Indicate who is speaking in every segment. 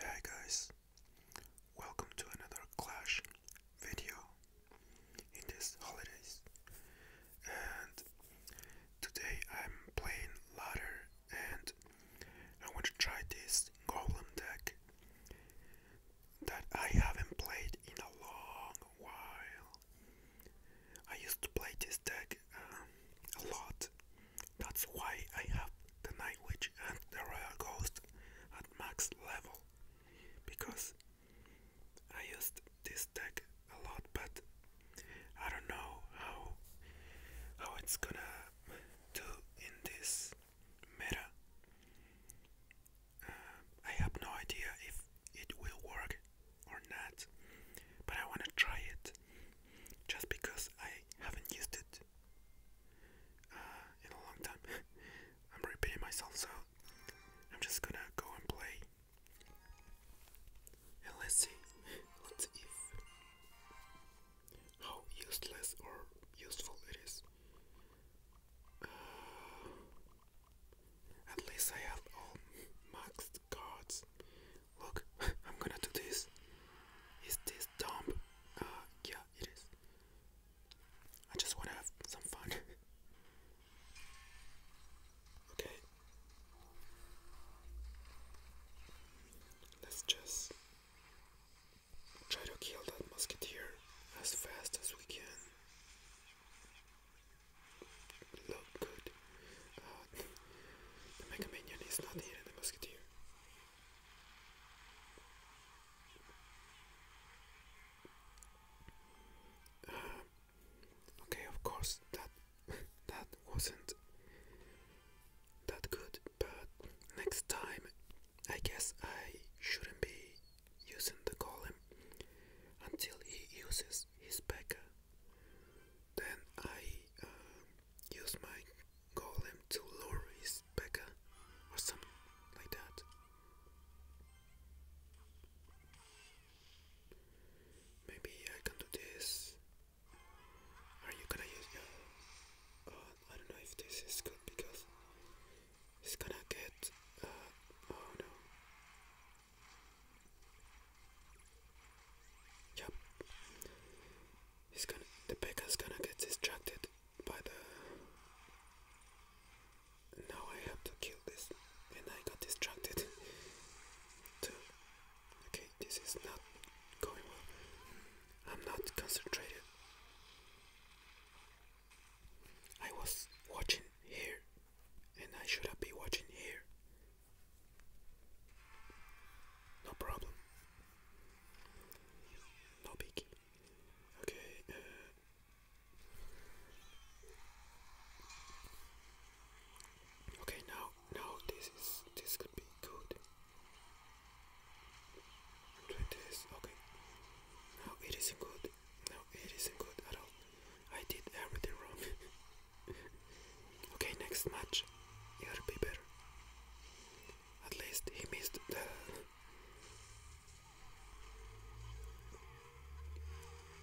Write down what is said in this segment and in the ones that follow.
Speaker 1: Hey guys, welcome to another Clash video in this holidays. And today I'm playing ladder, and I want to try this golem deck that I haven't played in a long while. I used to play this deck um, a lot that's why I have the Night Witch and the Royal Ghost at max level because I used this deck a lot, but I don't know how how it's gonna do in this meta. Uh, I have no idea if it will work or not, but I wanna try it just because I haven't used it uh, in a long time. I'm repeating myself, so I'm just gonna go and play. And let's see, let's see how useless or useful it is. Uh, at least I have all maxed cards. Look, I'm gonna do this. Is this dumb? Uh, yeah, it is. I just wanna have some fun. okay. Let's just try to kill that musketeer as fast as we can. Look good. Uh, the Mega is not here, the musketeer okay, of course that that wasn't that good, but next time I guess I shouldn't be using the column until he uses his Becca. Then I uh, use my golem to lure his Becca or something like that. Maybe I can do this. Are you gonna use uh, I don't know if this is good because it's gonna get. Uh, oh no. Yep. He's gonna. The baker's gonna get distracted by the. Now I have to kill this, and I got distracted. Okay, this is not going well. I'm not concentrated. I was watching here, and I should have been watching here. No problem. No biggie. Okay. Uh, okay, now, now this is this could be good. Do Okay. Now it isn't good. No, it isn't good at all. I did everything wrong. Okay, next match, you to be better. At least he missed the.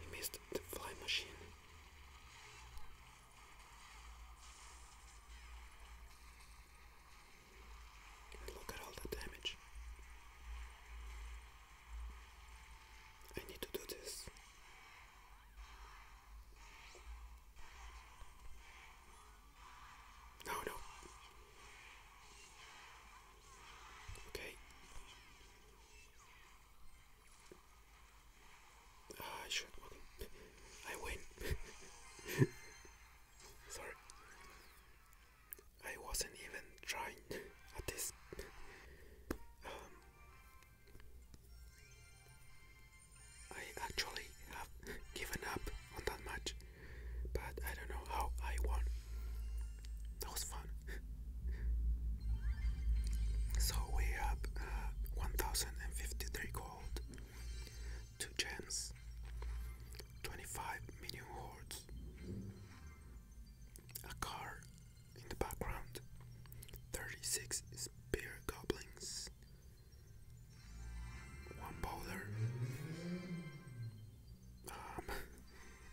Speaker 1: He missed the fly machine. look at all the damage. I need to do this. No, no. Okay. Uh, I should. Okay. I win. Sorry. I wasn't even trying at this. Um, I actually have given up on that match, but I don't know how I won. That was fun. so we have uh, 1053 gold, 2 gems, 25 minion hordes, a car in the background, 36 spear goblins, one bowler, um,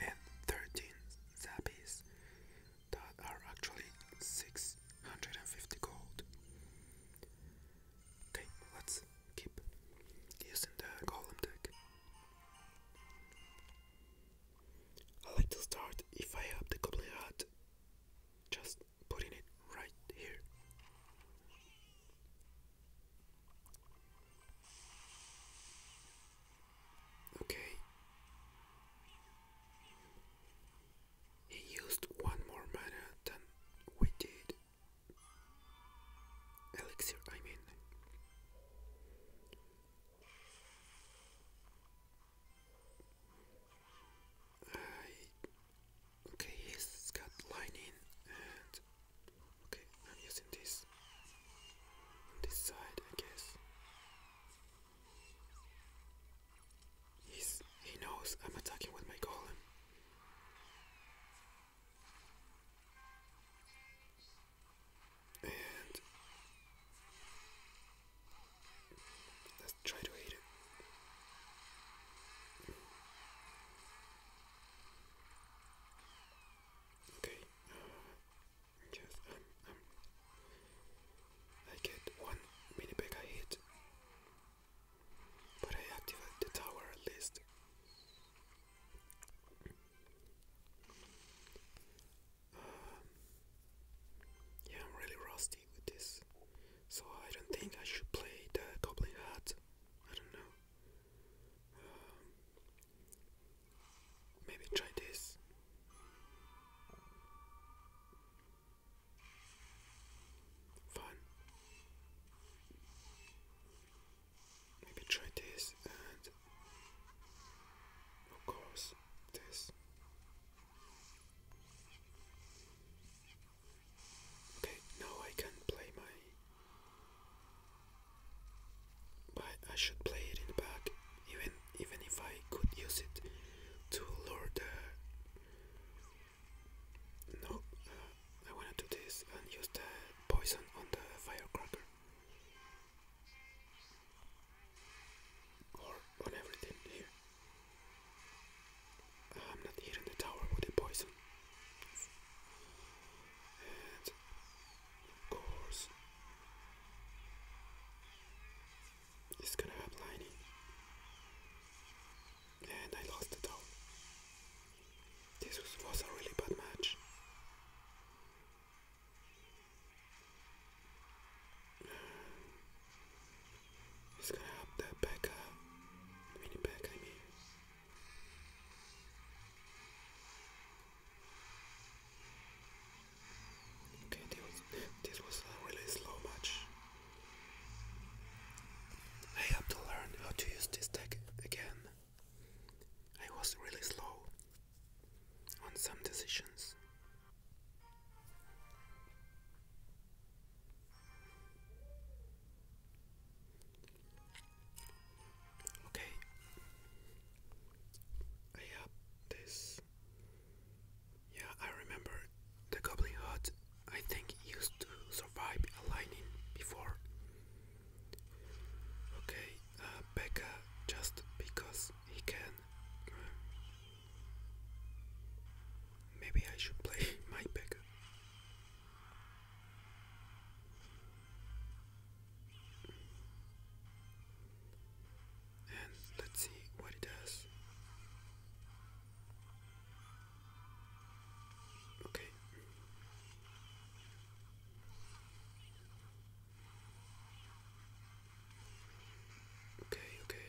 Speaker 1: and 13 zappies that are actually 650 gold. Okay, let's keep using the golem deck. I like to start if I have the goblin hat just putting it right here. Okay. He used one more mana than we did. Elixir, I mean. Uh, okay, he's got lining okay, I'm using this on this side, I guess. He's he knows I'm attacking with my column. And Let's try to eat it. Okay, yes, uh, i get one mini Pekka hit, but I activate the tower at least. Um, yeah, I'm really rusty with this, so I don't think I should play the Goblin Hat. I don't know. Um, maybe try this. Fun. Maybe try this and of course this. Okay, now I can play my. But I should play it in the back, even even if I could use it to lure the. No, uh, I wanna do this and use the poison on the firecracker or on everything here. I'm not here the tower with the poison. And of course, it's gonna have lining. And I lost the tower. This was a really bad match. It's gonna help that back up. Mini back, I mean. Okay, this was, this was uh, really slow match. I have to learn how to use this deck again. I was really slow on some decisions. Okay. I this. Yeah, I remember the Goblin Hut, I think, used to survive a lightning before. Okay, uh, Becca, just because he can. Uh, Maybe I should play my pick. And let's see what it does. Okay. Okay, okay.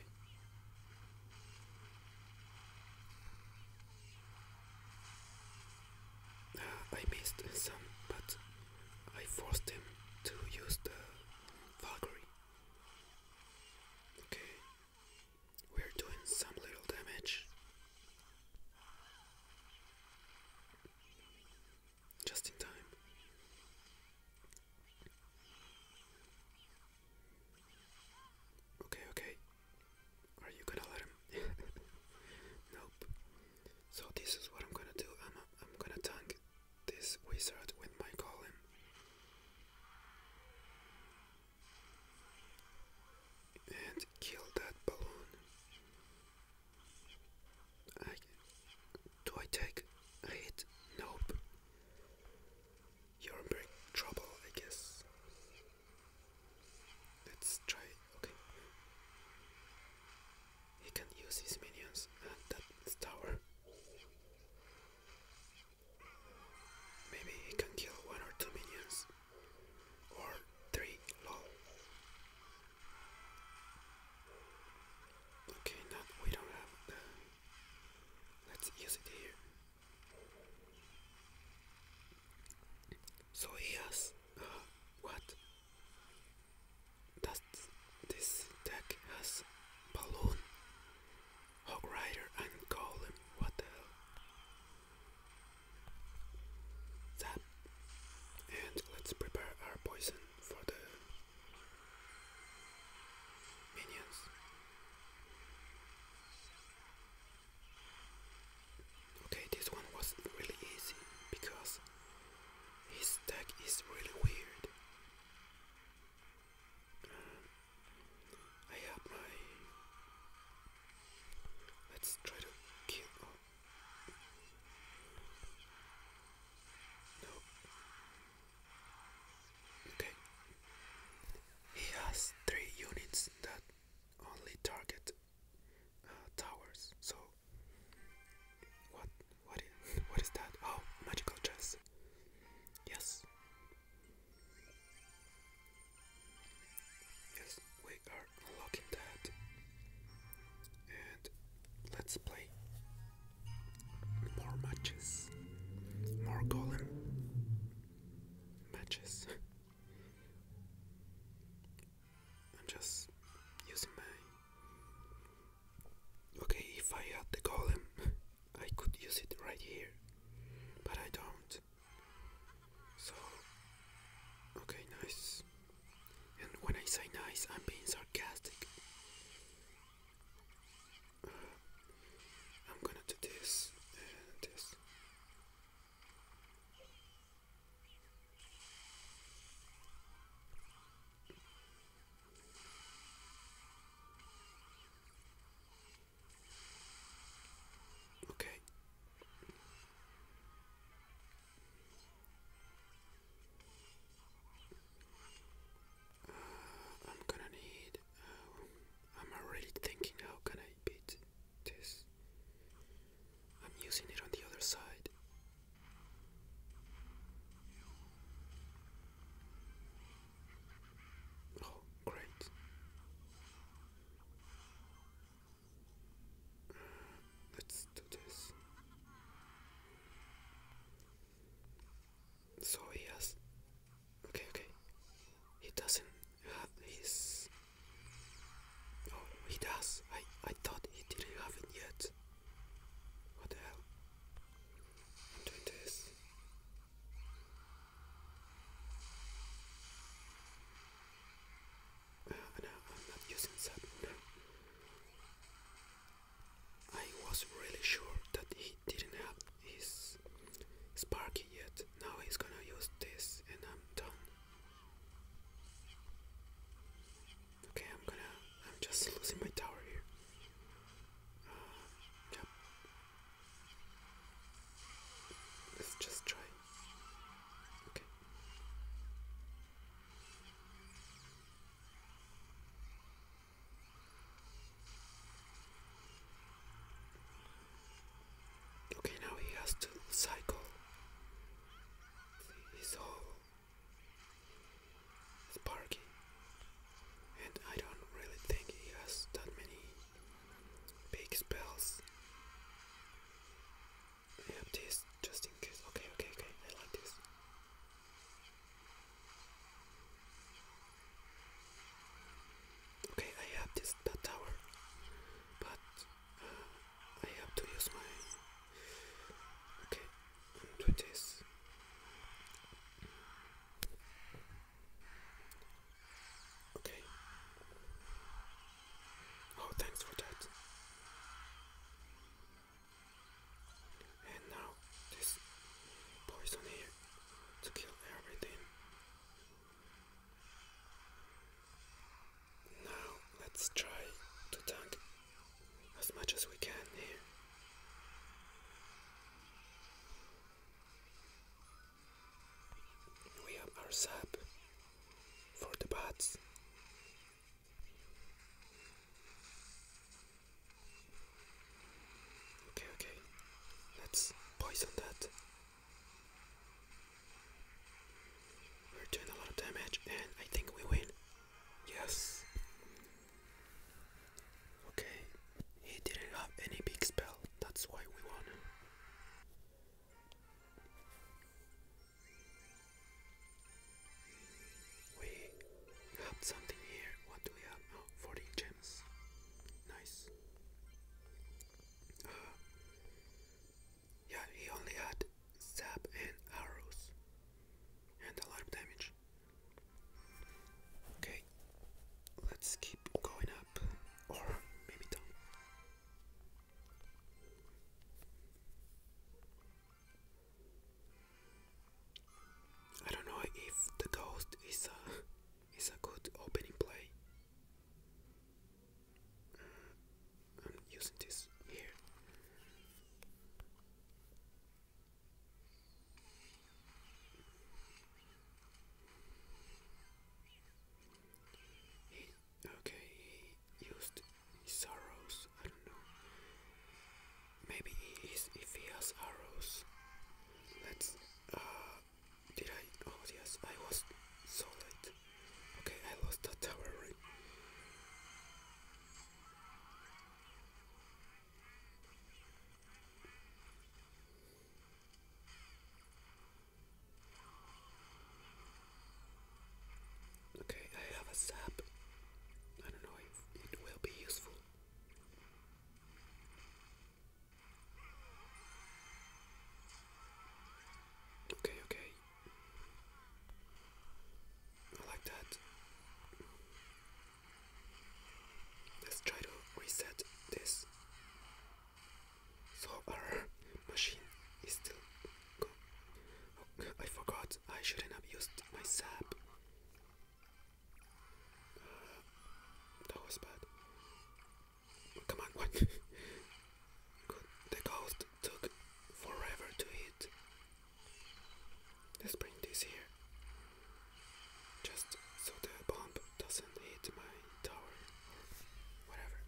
Speaker 1: Ah, I missed some, but I forced him to use the Valkyrie. Okay, we're doing some little damage. Just in time. Okay, okay. Are you gonna let him? nope. So this is what I'm gonna do. I'm I'm gonna tank this wizard with my golem. And kill that balloon. do I take hit? Nope. You're in big trouble, I guess. Let's try. Okay. He can use his minions and that tower. Maybe he can kill one or two minions. Or three. Lol. Okay, now we don't have that's easy to hear. So he uh, what? Does this deck has balloon, hog rider, and golem? What the hell? Zap, and let's prepare our poison for the Minions. Okay, this one was really easy because his deck is really weird. I have my. Let's try to kill. Oh. Okay. He has three units that only target uh, towers. So what? What is? What is that? Oh, magical chess. Yes. Yes, we are unlocking that and let's play more matches, more golem matches. I'm just using my. Okay, if I had the golem, I could use it right here, but I don't. So, okay, nice. And when I say nice, I'm being sarcastic. I'm gonna do this and uh, this. Okay. I'm gonna need. Uh, I'm already thinking how can I beat this. I'm using it on the other side. Oh, great. Uh, let's do this. So he has. Okay, okay. He doesn't have his. Oh, he does. I I thought he didn't have it yet. What the hell? i this. Uh, I'm not using that. No. I was really sure that he didn't have his Sparky yet. Now he's gonna use this and I'm done. Okay, I'm gonna. I'm just losing my tower here. Uh, Let's just try. Okay. Okay, now he has to cycle his whole Sparky, and I don't really think he has that many big spells. I have this just in case. Okay, okay, okay, I like this. Okay, I have this tower, but uh, I have to use my. Okay, do this. Okay. Oh, thanks for that. And now this poison here to kill everything. Now let's try to tank as much as we can here. We have our sap for the bats Okay, okay. Let's poison that. We're doing a lot of damage and I think we win. Yes. Okay. He didn't have any big spell. That's why we won. We have something here. What do we have? Oh, 40 gems. Nice. Uh, yeah, he only had sap and arrows. And a lot of damage. Okay, let's keep going up. Or maybe down. I don't know if the ghost is a is a good opening play. Mm, I'm using this here. okay, used sorrows. I don't know. Maybe he is, if he has arrows. Let's. Uh, did I? Oh yes, I was so late. Okay, I lost the tower ring. Okay, I have a sap. I don't know it will be useful. Okay, okay. I like that. Let's try to reset this. So our machine is still. Go oh, I forgot. I shouldn't have used my sap. Uh, that was bad. Come on, what? The ghost took forever to eat. Let's bring this here. Just so the bomb doesn't hit my tower whatever.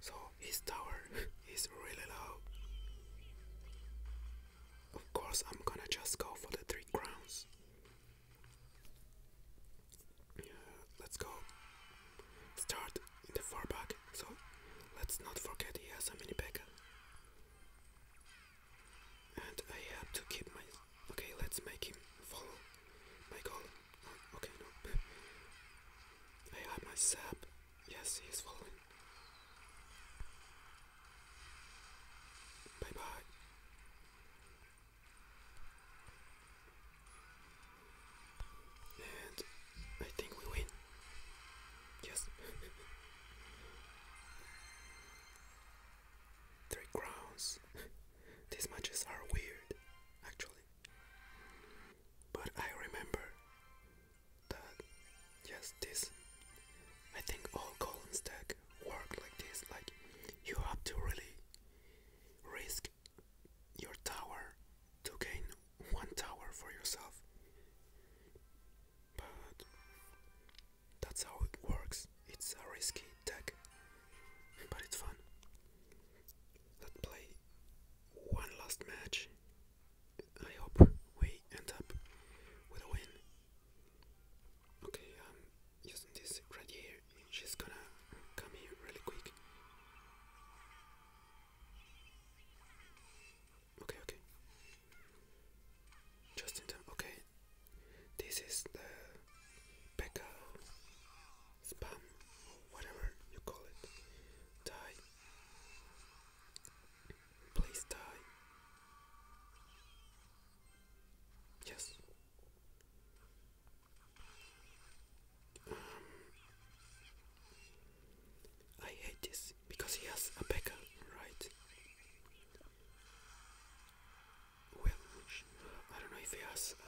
Speaker 1: So his tower is really low. Of course, I'm gonna just go for the three crowns. Yeah, let's go. Start in the far back, so let's not forget he has a mini Pekka. And I have to keep my. Okay, let's make him follow my goal. Oh, okay, no. I have my sap. Yes, he is falling. Bye bye. And I think we win. Yes. Three crowns. These matches are weird, actually. But I remember that yes this I think all column stack work like this like you have to really risk your tower to gain one tower for yourself but that's how it works it's a risky tech, but it's fun let's play one last match I hope we end up with a win. Okay, um, using this right here, she's gonna come here really quick. Okay, okay. Just in time, okay. This is the Pekka spam, whatever you call it. Die. Please die. Yes. Um, I hate this because he has a beaker, right? Well, I don't know if he has. Uh,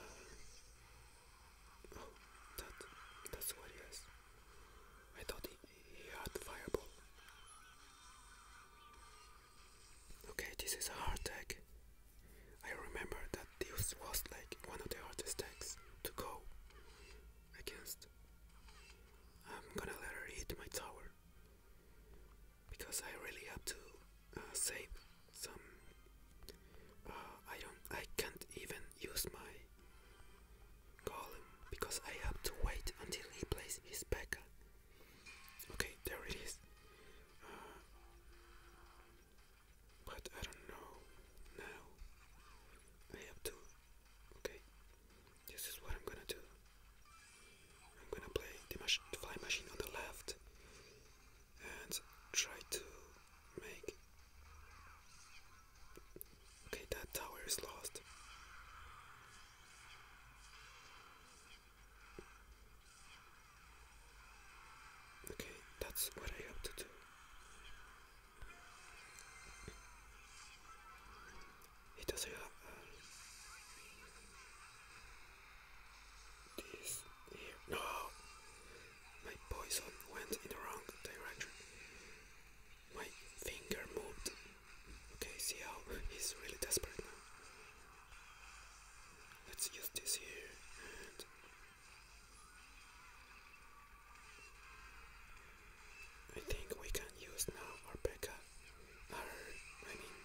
Speaker 1: oh, that—that's what he has. I thought he Yacht fireball. Okay, this is a hard deck. I remember that this was like one of the hardest decks to go against. I'm gonna let her hit my tower because I really have to uh, save some. Uh, I don't. I can't even use my golem because I have to wait until he plays his P.E.K.K.A. Okay, there it is. Uh, but I don't know now. I have to. Okay, this is what I'm gonna do. I'm gonna play the, the fly machine on the left and try to make Okay, that tower is lost. Okay, that's what I have to do. He does have uh, this here. No, my poison went in the wrong direction. My finger moved. Okay, see how he's really desperate now. Let's use this here I think we can use now our Becca. Our I mean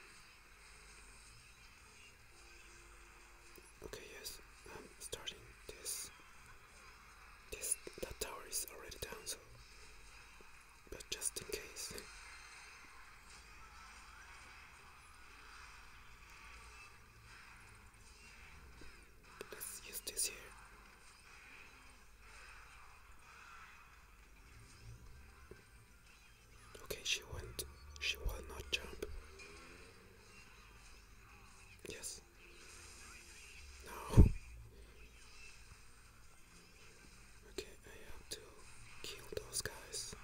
Speaker 1: Okay yes, I'm starting this this that tower is already down, so but just in case. Let's use this here. Okay, she won't. She will not jump. Yes. No. Okay, I have to kill those guys.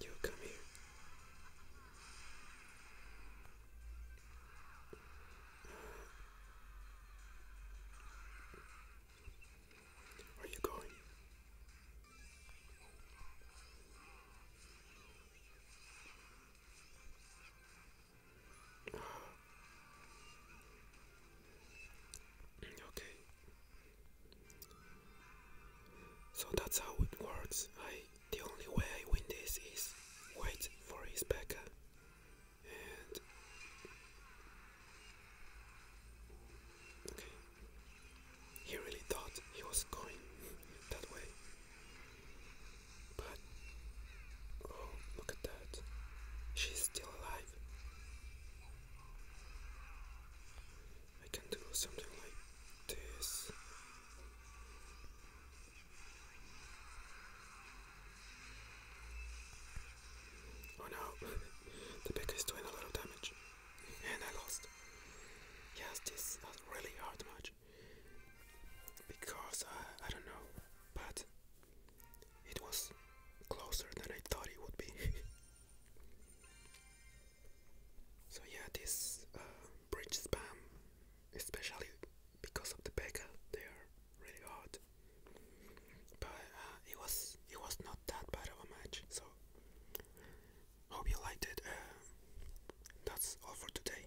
Speaker 1: You come here. are you going? Okay. So that's how it works. I the only way I win this is wait for his backup Okay. He really thought he was going that way. But oh, look at that. She's still alive. I can do something like this. Oh no, the pick is doing a lot of damage. And I lost. Yes, this a really hard match because I, uh, I don't know, but it was closer than I thought it would be. so, yeah, this uh, bridge spam, especially because of the Becca, they are really hard. But uh, it was it was not that bad of a match, so hope you liked it. Uh, that's all for today.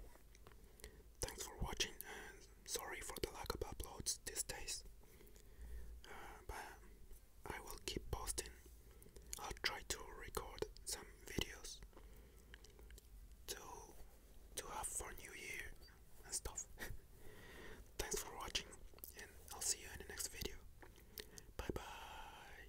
Speaker 1: Thanks for watching and sorry for the lack of uploads these days. Uh, but I will keep posting. I'll try to record some videos to to have for New Year and stuff. Thanks for watching and I'll see you in the next video. Bye bye.